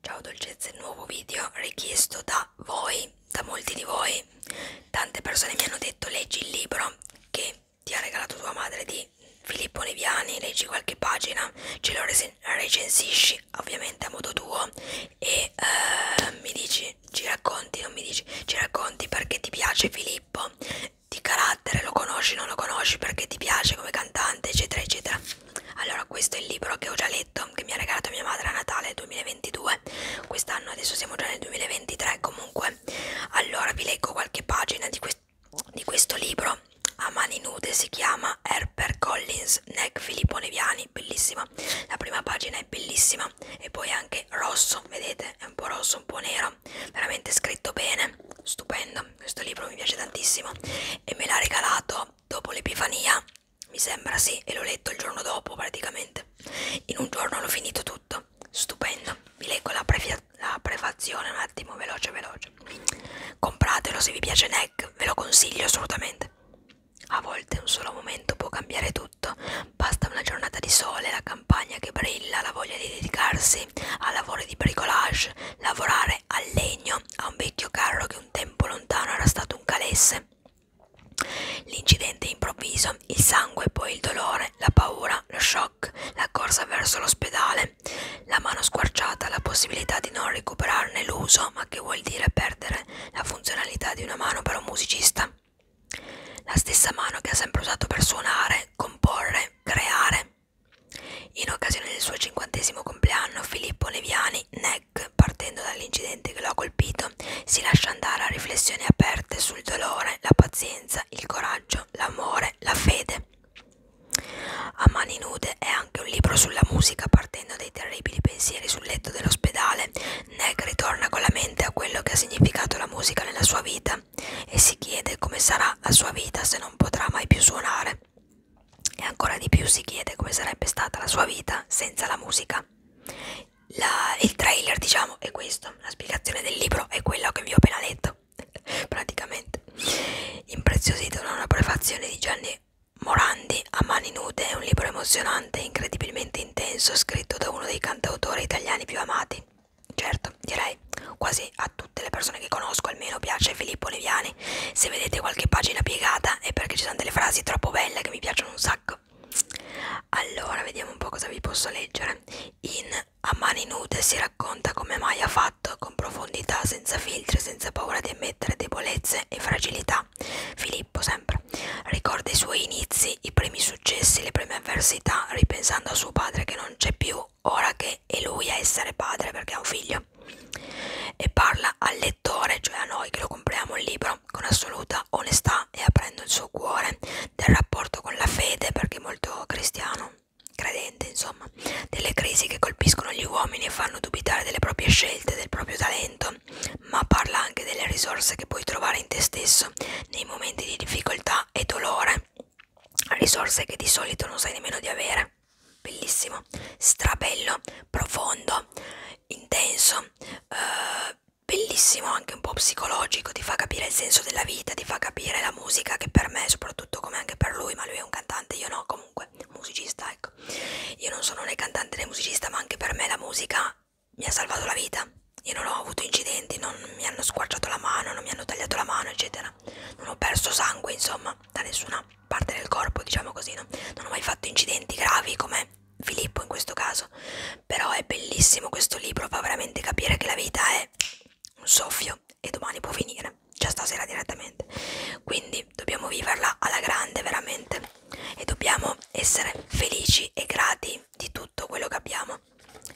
Ciao dolcezze, nuovo video richiesto da voi, da molti di voi. Tante persone mi hanno detto leggi il libro che ti ha regalato tua madre di Filippo Neviani, leggi qualche pagina, ce lo recensisci ovviamente a modo tuo e uh, mi dici, ci racconti, non mi dici, ci racconti perché ti piace Filippo di carattere, lo conosci, non lo conosci, perché ti piace come cantante, eccetera, eccetera. Allora, questo è il libro che ho già letto, che mi ha regalato mia madre a Natale 2022, quest'anno adesso siamo già nel 2023 comunque. Allora, vi leggo qualche pagina di, que di questo libro a mani nude si chiama Harper Collins, Neck Filippo Neviani, bellissima bellissima la prima pagina è bellissima e poi anche rosso vedete è un po' rosso un po' nero veramente scritto bene stupendo questo libro mi piace tantissimo e me l'ha regalato dopo l'epifania mi sembra sì e l'ho letto il giorno dopo praticamente in un giorno l'ho finito tutto stupendo vi leggo la, la prefazione un attimo veloce veloce compratelo se vi piace NEC ve lo consiglio assolutamente a volte un solo momento può cambiare tutto, basta una giornata di sole, la campagna che brilla, la voglia di dedicarsi a lavori di bricolage, lavorare al legno, a un vecchio carro che un tempo lontano era stato un calesse. L'incidente improvviso, il sangue, poi il dolore, la paura, lo shock, la corsa verso l'ospedale, la mano squarciata, la possibilità di non recuperarne l'uso, ma che vuol dire perdere la funzionalità di una mano per un musicista. La stessa mano che ha sempre usato per suonare, comporre, creare. In occasione del suo cinquantesimo compleanno, Filippo Leviani, Neck, partendo dall'incidente che lo ha colpito, si lascia andare a riflessioni aperte sul dolore, la pazienza, il coraggio, l'amore, la fede. A mani nude è anche un libro sulla musica partendo dai terribili pensieri sul letto dell'ospedale Neg ritorna con la mente a quello che ha significato la musica nella sua vita e si chiede come sarà la sua vita se non potrà mai più suonare. E ancora di più si chiede come sarebbe stata la sua vita senza la musica. La, il trailer, diciamo, è questo. La spiegazione del libro è quella che vi ho appena letto, praticamente. Impreziosito da una prefazione di Gianni Morandi, A mani nude, è un libro emozionante e incredibilmente intenso scritto da uno dei cantautori italiani più amati. Certo, direi quasi a tutte le persone che conosco almeno piace Filippo Leviani. Se vedete qualche pagina piegata è perché ci sono delle frasi troppo belle che mi piacciono un sacco. Allora, vediamo un po' cosa vi posso leggere. In A mani nude si racconta come mai ha fatto, con profondità, senza filtri, senza paura di ammettere debolezze e fragilità. Filippo, sempre. Ricorda i suoi inizi, i primi successi, le prime avversità, ripensando a suo padre che non c'è più, ora che è lui a essere padre perché ha un figlio. E parla al lettore, cioè a noi che lo compriamo il libro, con assoluta onestà e aprendo il suo cuore del rapporto con la fede, perché è molto cristiano, credente insomma, delle crisi che colpiscono gli uomini e fanno dubitare delle proprie scelte, del proprio talento, vita, ma parla anche delle risorse che puoi trovare in te stesso nei momenti di difficoltà e dolore, risorse che di solito non sai nemmeno di avere. Bellissimo, strabello, profondo, intenso, eh, bellissimo, anche un po' psicologico, ti fa capire il senso della vita, ti fa capire la musica che per me, soprattutto come anche per lui, ma lui è un cantante, io no, comunque musicista, ecco ecco io non sono né cantante né musicista ma anche per me la musica mi ha salvato la vita io non ho avuto incidenti non mi hanno squarciato la mano non mi hanno tagliato la mano eccetera non ho perso sangue insomma da nessuna parte del corpo diciamo così no? non ho mai fatto incidenti gravi come Filippo in questo caso però è bellissimo questo libro fa veramente capire che la vita è un soffio e domani può finire già stasera direttamente quindi quindi dobbiamo viverla alla grande veramente e dobbiamo essere felici e grati di tutto quello che abbiamo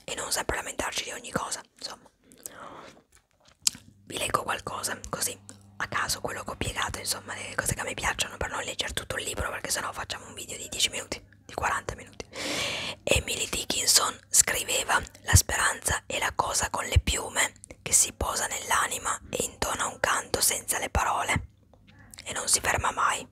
e non sempre lamentarci di ogni cosa insomma vi leggo qualcosa così a caso quello che ho piegato insomma le cose che a me piacciono per non leggere tutto il libro perché sennò facciamo un video di 10 minuti di 40 minuti Emily Dickinson scriveva la speranza è la cosa con le piume che si posa nell'anima e intona un canto senza le parole e non si ferma mai.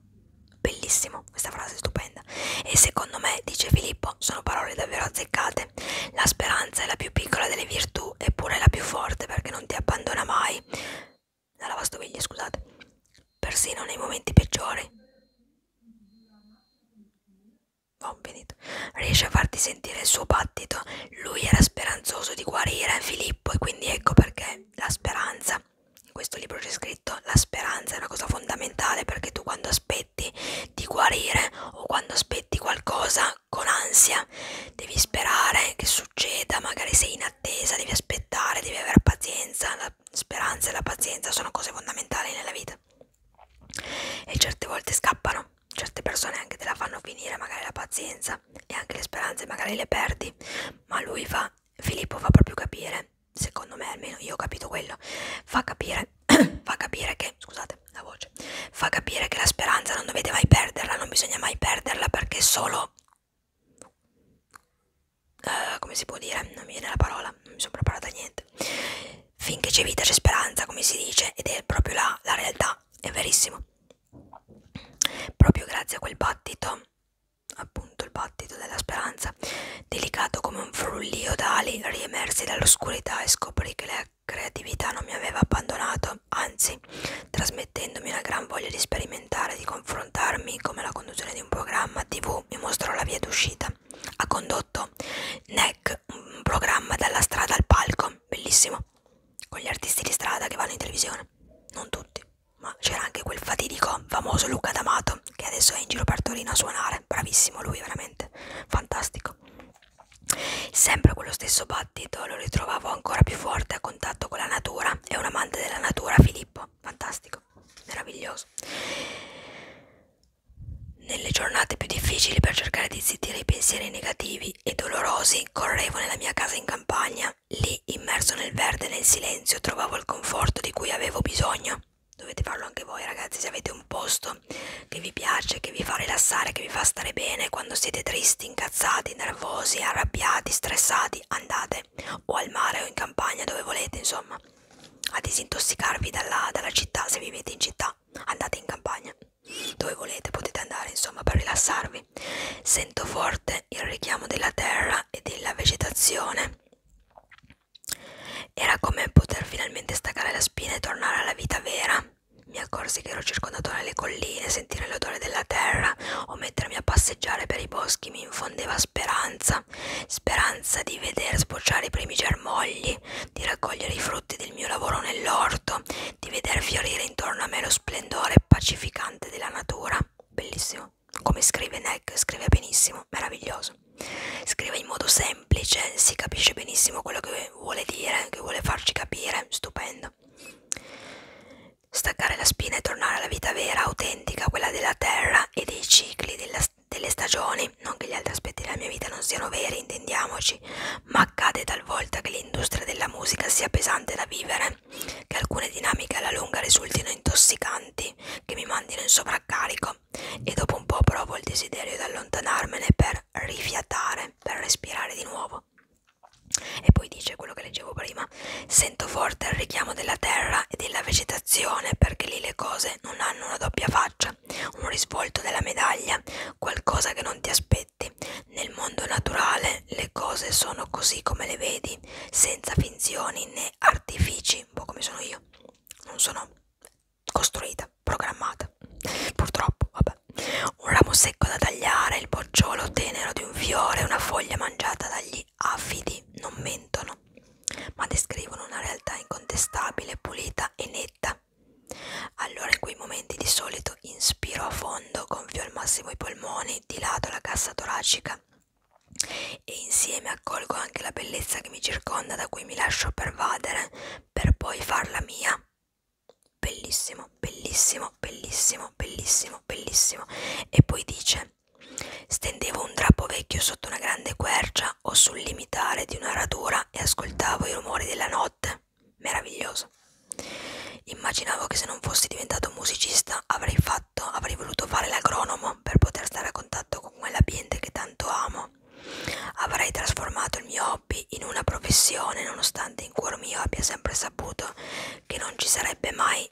Bellissimo, questa frase è stupenda. E secondo me, dice Filippo, sono parole davvero azzeccate. La speranza è la più piccola delle virtù, eppure è la più forte perché non ti abbandona mai. La lavastoviglie, scusate. Persino nei momenti peggiori. Oh, riesce a farti sentire il suo battito, lui era speranzoso di guarire Filippo e quindi ecco perché la speranza, in questo libro c'è scritto, la speranza è una cosa fondamentale perché tu quando aspetti di guarire o quando aspetti qualcosa con ansia devi sperare che succeda, magari sei in attesa, devi aspettare, devi avere pazienza, la speranza e la pazienza sono cose fondamentali nella vita e certe volte scappano, certe persone anche te la fanno finire magari la pazienza e anche le speranze magari le perdi ma lui fa Filippo fa proprio capire secondo me almeno io ho capito quello fa capire fa capire che scusate la voce fa capire che la speranza non dovete mai perderla non bisogna mai perderla perché solo Uh, come si può dire? Non mi viene la parola, non mi sono preparata a niente. Finché c'è vita c'è speranza, come si dice, ed è proprio la, la realtà, è verissimo. Proprio grazie a quel battito, appunto il battito della speranza, delicato come un frullio d'ali, riemersi dall'oscurità e scoprì che la creatività non mi aveva abbandonato, anzi, trasmettendomi una gran voglia di sperimentare, di confrontarmi come la conduzione di un programma TV mi mostrò la via d'uscita. Ha condotto NEC, un programma dalla strada al palco, bellissimo, con gli artisti di strada che vanno in televisione, non tutti, ma c'era anche quel fatidico famoso Luca D'Amato che adesso è in giro per Torino a suonare, bravissimo lui veramente, fantastico. Sempre quello stesso battito lo ritrovavo ancora più forte a contatto con la natura, è un amante della natura Filippo, fantastico, meraviglioso. Nelle giornate più difficili per cercare di zittire i pensieri negativi e dolorosi correvo nella mia casa in campagna lì immerso nel verde, nel silenzio, trovavo il conforto di cui avevo bisogno. Dovete farlo anche voi ragazzi, se avete un posto che vi piace, che vi fa rilassare, che vi fa stare bene, quando siete tristi, incazzati, nervosi, arrabbiati, stressati, andate o al mare o in campagna, dove volete, insomma, a disintossicarvi dalla, dalla città, se vivete in città, andate in campagna, dove volete, potete andare, insomma, per rilassarvi nuovi. Sento forte il richiamo della terra e della vegetazione. Era come poter finalmente staccare la spina e tornare alla vita vera. Mi accorsi che ero circondato dalle colline, sentire l'odore della terra o mettermi a passeggiare per i boschi mi infondeva speranza, speranza di vedere sbocciare i primi germogli, di raccogliere i frutti del mio lavoro nell'orto, di vedere fiorire intorno a me lo splendore pacificante della natura. Bellissimo. Come scrive Neck, scrive benissimo, meraviglioso. Scrive in modo semplice, si capisce benissimo quello che vuole dire, che vuole farci capire, stupendo. Staccare la spina e tornare alla vita vera, autentica, quella della terra e dei cicli della, delle stagioni. Non che gli altri aspetti della mia vita non siano veri, intendiamoci, ma accade talvolta che l'industria della musica sia pesante da vivere possibile che alcune dinamiche alla lunga risultino intossicanti, che mi mandino in sovraccarico e dopo un po' provo il desiderio di allontanarmene per rifiatare, per respirare di nuovo. E poi dice quello che leggevo prima, sento forte il richiamo della terra e della vegetazione perché lì le cose non hanno una doppia faccia, un risvolto della medaglia, qualcosa che non ti aspetti stretti. Nel mondo naturale le cose sono così come le vedi, senza finzioni né artifici, un po' come sono io. Non sono costruita, programmata. Purtroppo, vabbè. Un ramo secco da tagliare, il bocciolo tenero di un fiore, una foglia mangiata dagli affidi non mentono, ma descrivono una realtà incontestabile, pulita e netta. Allora in quei momenti di solito io inspiro a fondo, gonfio al massimo i polmoni, dilado la cassa toracica e insieme accolgo anche la bellezza che mi circonda, da cui mi lascio pervadere per poi farla mia. Bellissimo, bellissimo, bellissimo, bellissimo, bellissimo. E poi dice: Stendevo un drappo vecchio sotto una grande quercia o sul limitare di una radura e ascoltavo i rumori della notte meraviglioso. Immaginavo che se non fossi diventato musicista avrei fatto, avrei voluto fare l'agronomo per poter stare a contatto con quell'ambiente che tanto amo. Avrei trasformato il mio hobby in una professione, nonostante in cuor mio abbia sempre saputo che non ci sarebbe mai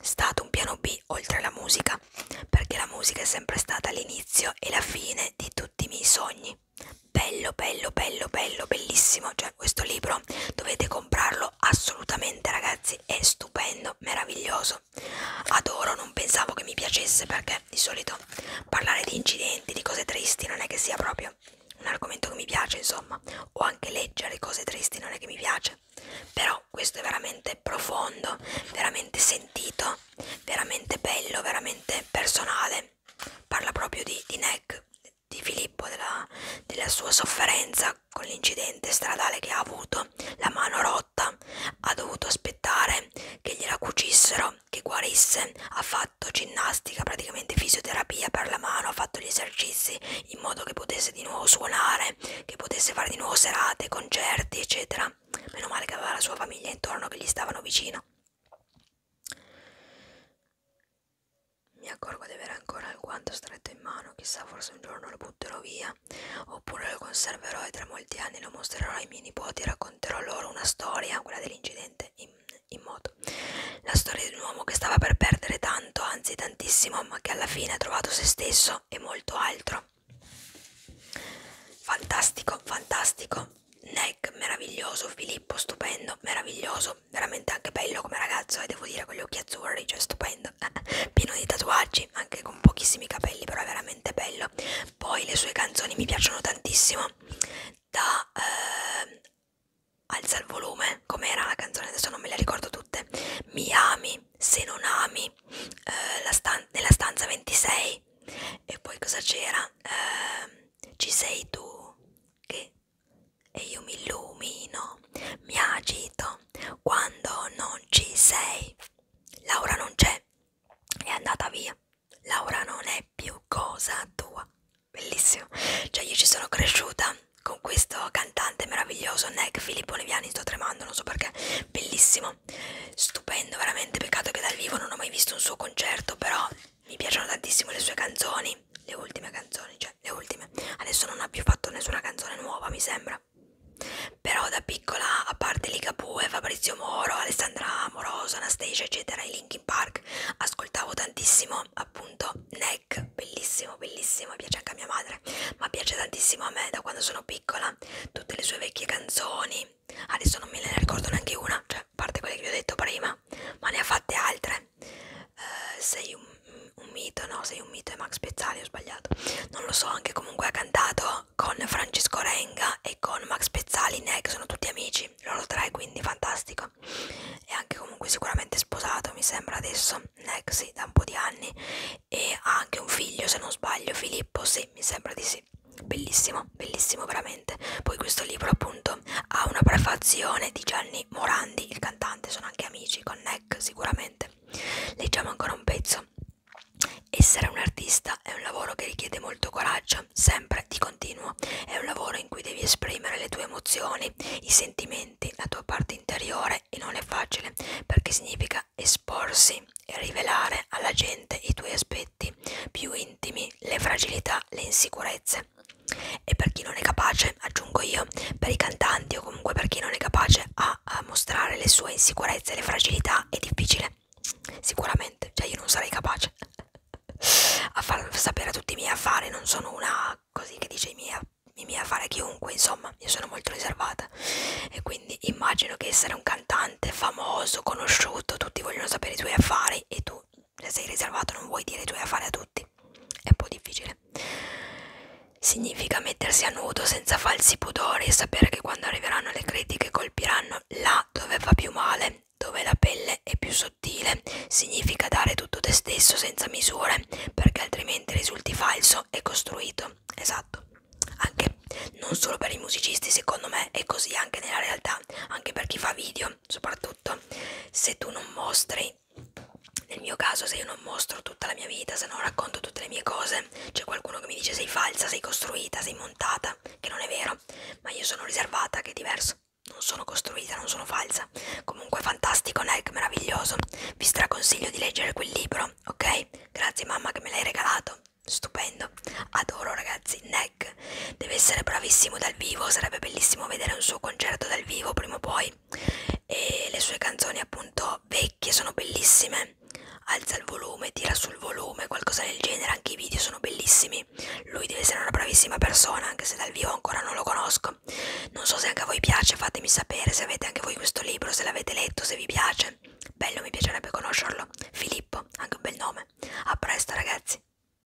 stato un piano B oltre la musica, perché la musica è sempre stata l'inizio e la fine di tutti i miei sogni bello bello bello bello bellissimo cioè questo libro dovete comprarlo assolutamente ragazzi è stupendo meraviglioso adoro non pensavo che mi piacesse perché di solito parlare di incidenti di cose tristi non è che sia proprio un argomento che mi piace insomma o anche leggere cose tristi non è che mi piace però questo è veramente profondo veramente sentito veramente bello veramente personale parla proprio di, di neck di Filippo, della, della sua sofferenza con l'incidente stradale che ha avuto, la mano rotta, ha dovuto aspettare che gliela cucissero, che guarisse, ha fatto ginnastica, praticamente fisioterapia per la mano, ha fatto gli esercizi in modo che potesse di nuovo suonare, che potesse fare di nuovo serate, concerti, eccetera. Meno male che aveva la sua famiglia intorno che gli stavano vicino. Mi accorgo di avere ancora il guanto stretto in mano, chissà forse un giorno lo butterò via, oppure lo conserverò e tra molti anni lo mostrerò ai miei nipoti e racconterò loro una storia, quella dell'incidente in, in moto. La storia di un uomo che stava per perdere tanto, anzi tantissimo, ma che alla fine ha trovato se stesso e molto altro. Fantastico, fantastico. Neck meraviglioso, Filippo stupendo, meraviglioso, veramente anche bello come ragazzo e eh, devo dire con gli occhi azzurri, cioè stupendo, pieno di tatuaggi, anche con pochissimi capelli, però è veramente bello. Poi le sue canzoni mi piacciono tantissimo, da eh, Alza il volume, com'era la canzone, adesso non me le ricordo tutte, Mi ami, se non ami, eh, la stan nella stanza 26 e poi cosa c'era? Eh, ci sei tu che e io mi illumino, mi agito quando non ci sei. Laura non c'è, è andata via. Laura non è più cosa tua. Bellissimo. Cioè io ci sono cresciuta con questo cantante meraviglioso, Nick Filippo Leviani, sto tremando, non so perché. Bellissimo. Stupendo, veramente peccato che dal vivo non ho mai visto un suo concerto, però mi piacciono tantissimo le sue canzoni, le ultime canzoni, cioè le ultime. Adesso non ha più fatto nessuna canzone nuova, mi sembra. Però da piccola, a parte Ligabue, Fabrizio Moro, Alessandra Amoroso, Anastasia, eccetera, i Linkin Park, ascoltavo tantissimo appunto Neck, bellissimo, bellissimo, piace anche a mia madre, ma piace tantissimo a me da quando sono piccola, tutte le sue vecchie canzoni, adesso non me ne ricordo neanche una, cioè a parte quelle che vi ho detto prima, ma ne ha fatte altre, te eh, sei un, un mito, no? Sei un mito, è Max Pezzali, ho sbagliato. Non lo so, anche comunque ha cantato con Francesco Renga e con Max Pezzali, ne che sono tutti amici, loro tre, quindi fantastico. E anche comunque sicuramente sposato, mi sembra adesso, Neck sì, da un po' di anni. E ha anche un figlio, se non sbaglio, Filippo, sì, mi sembra di sì. Bellissimo, bellissimo veramente veramente. Poi questo libro appunto ha una prefazione di Gianni Morandi, il cantante, sono anche amici con Neck sicuramente. Leggiamo ancora un pezzo. Essere un artista è un lavoro che richiede molto coraggio, sempre di continuo. È un lavoro in cui devi esprimere le tue emozioni, i sentimenti, la tua parte interiore e non è facile perché significa esporsi e rivelare alla gente i tuoi aspetti più intimi, le fragilità, le insicurezze inglese. E per chi non è capace, aggiungo io, per i cantanti o comunque per chi non è capace a, a mostrare le sue insicurezze e le fragilità è difficile. Sicuramente, cioè io non sarei capace a far sapere a tutti i miei affari, non sono una così che dice i miei, i miei affari a chiunque, insomma, io sono molto riservata e quindi immagino che essere un cantante famoso, conosciuto, tutti vogliono sapere i tuoi affari e tu sei riservato non vuoi dire i tuoi affari a tutti è un po' difficile significa mettersi a nudo senza falsi pudori e sapere che quando arriveranno le critiche colpiranno là dove fa più male dove la pelle è più sottile significa dare tutto te stesso senza misure perché altrimenti risulti falso e costruito esatto anche non solo per i musicisti secondo me è così anche nella realtà anche per chi fa video soprattutto vita se tu non mostri nel mio caso se io non mostro tutta la mia vita se non racconto tutte le mie cose c'è qualcuno che mi dice sei falsa sei costruita sei montata che non è vero ma io sono riservata che è diverso non sono costruita non sono falsa comunque fantastico Nike meraviglioso vi straconsiglio di leggere quel libro ok grazie mamma che me l'hai regalato stupendo adoro ragazzi Nike Black. Deve essere bravissimo dal vivo, sarebbe bellissimo vedere un suo concerto dal vivo prima o poi. E le sue canzoni, appunto, vecchie sono bellissime. Alza il volume, tira sul volume, qualcosa del genere. Anche i video sono bellissimi. Lui deve essere una bravissima persona, anche se dal vivo ancora non lo conosco. Non so se anche a voi piace, fatemi sapere se avete anche voi questo libro, se l'avete letto, se vi piace. Bello, mi piacerebbe conoscerlo. Filippo, anche un bel nome. A presto, ragazzi.